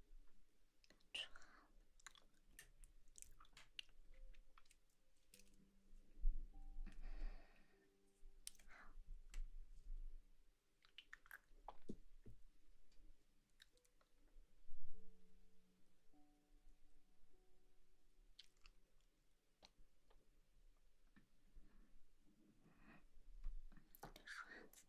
刷子。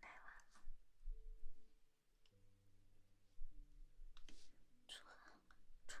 来晚了，出行出行。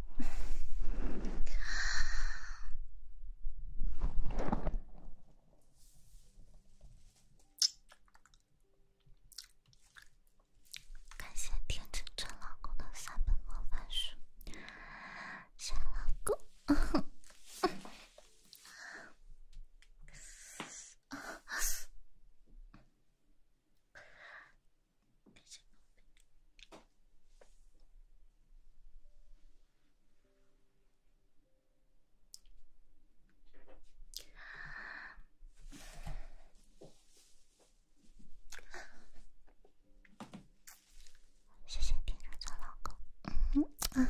感谢天真村老公的三本魔法书，谢老公。谢谢平时做老公。嗯嗯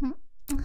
嗯嗯。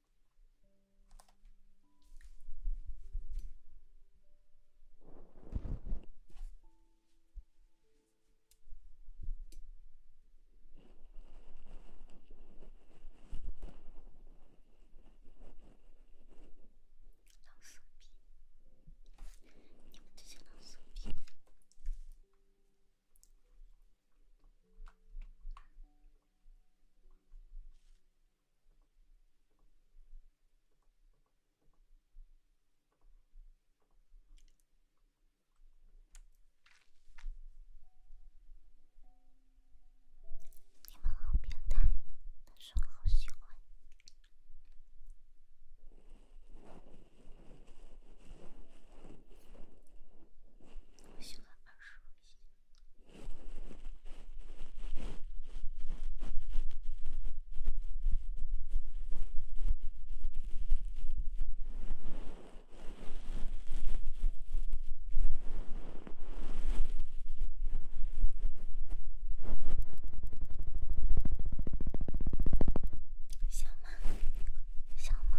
연습이이건대신연你们好变态，但是我好喜欢，我喜欢想吗？想吗？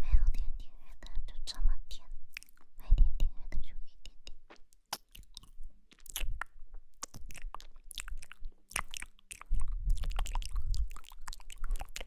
没有甜甜圈的就这么甜，没有甜甜圈的就一点点。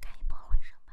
开一波回声吧。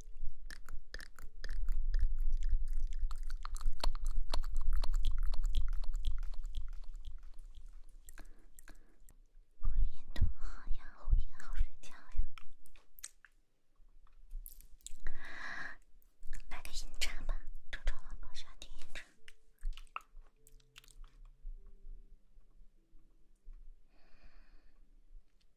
我眼睛好痒，我也好睡觉呀。来个音叉吧，周周老婆喜欢听音叉。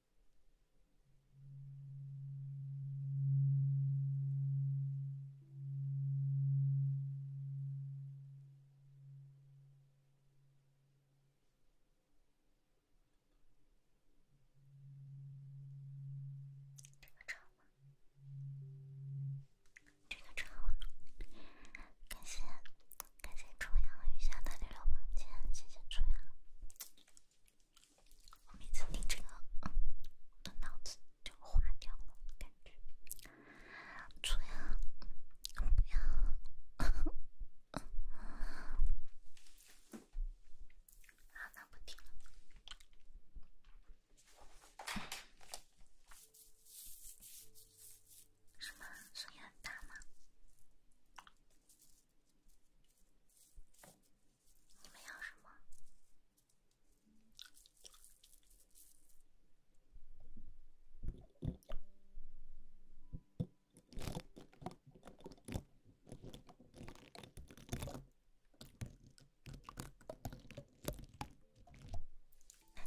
这个唱吗？这个唱吗？感谢感谢重阳雨下的六六房间，谢谢重阳。我每次听这个，我的脑子就化掉了，感觉。不要，不要，好，那不听了。什么？声音很大吗？你们要什么？那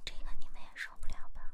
这个你们也受不了吧？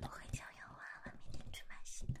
我很想要娃娃，明天去买新的。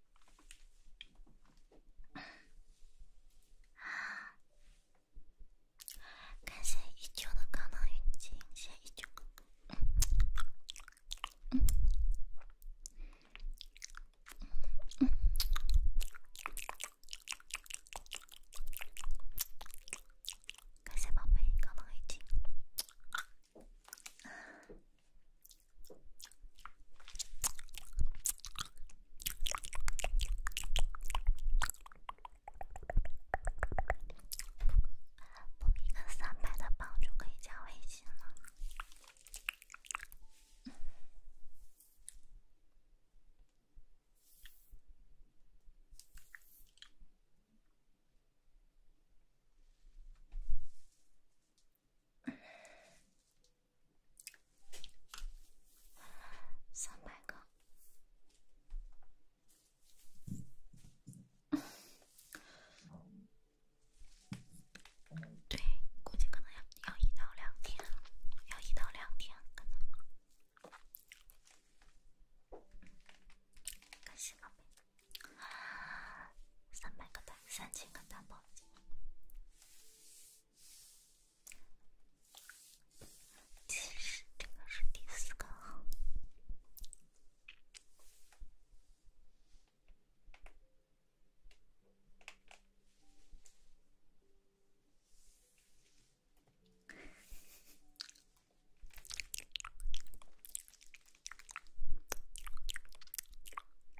啊！感谢一九的高能预警，谢谢一九，感谢宝贝高能预警。不，一个三百的帮助可以加微信吗？三百个，对，估计可能要要一到两天，要一到两天，可能。感谢宝贝，三百个赞。三千个大毛巾，其实这个是第四个。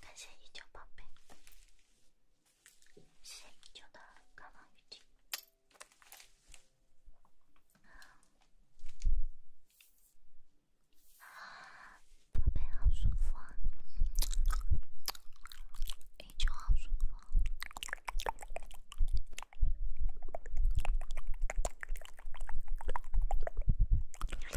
感谢一九宝贝，谢谢一九的康王雨具，宝贝好舒服啊，一九好舒服。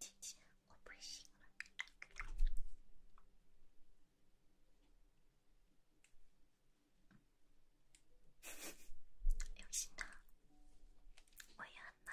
姐姐，我不行了，用心的，我要拿。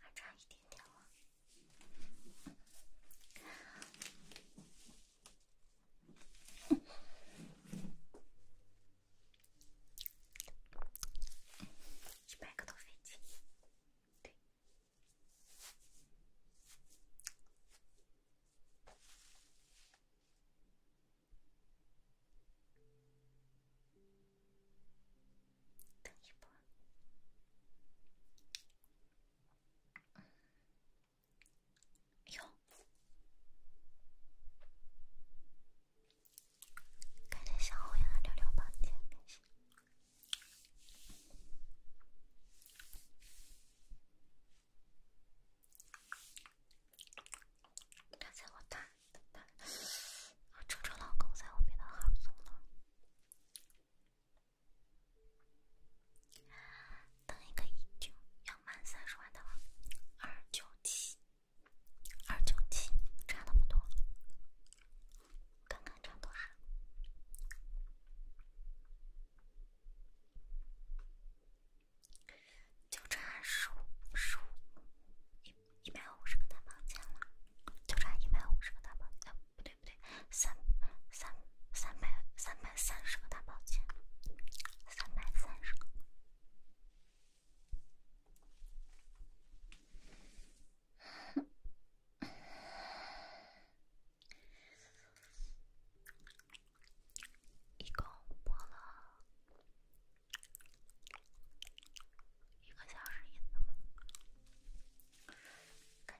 还差一点点了，一百个都费劲，对。等一波，哟，跟这小红人聊聊吧，再见，感谢。刚才我打打，郑州老公在我别的号走了。等一个一九，要满三十万的，二九七，二九七，差那么多。刚刚差多少？就差十五，十五，一一百五十个大宝剑了，就差一百五十个大宝剑，不对。对不对？三三三百三百三十个大宝剑，三百三十个，一共播了一个小时，一次吗？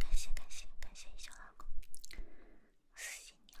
感谢感谢感谢，一休老公，私信你哦。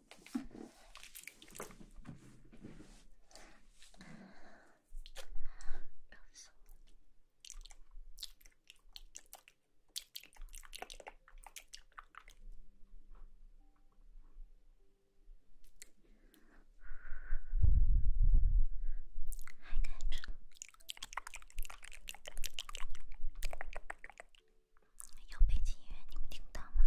还有背景音乐，你们听到吗？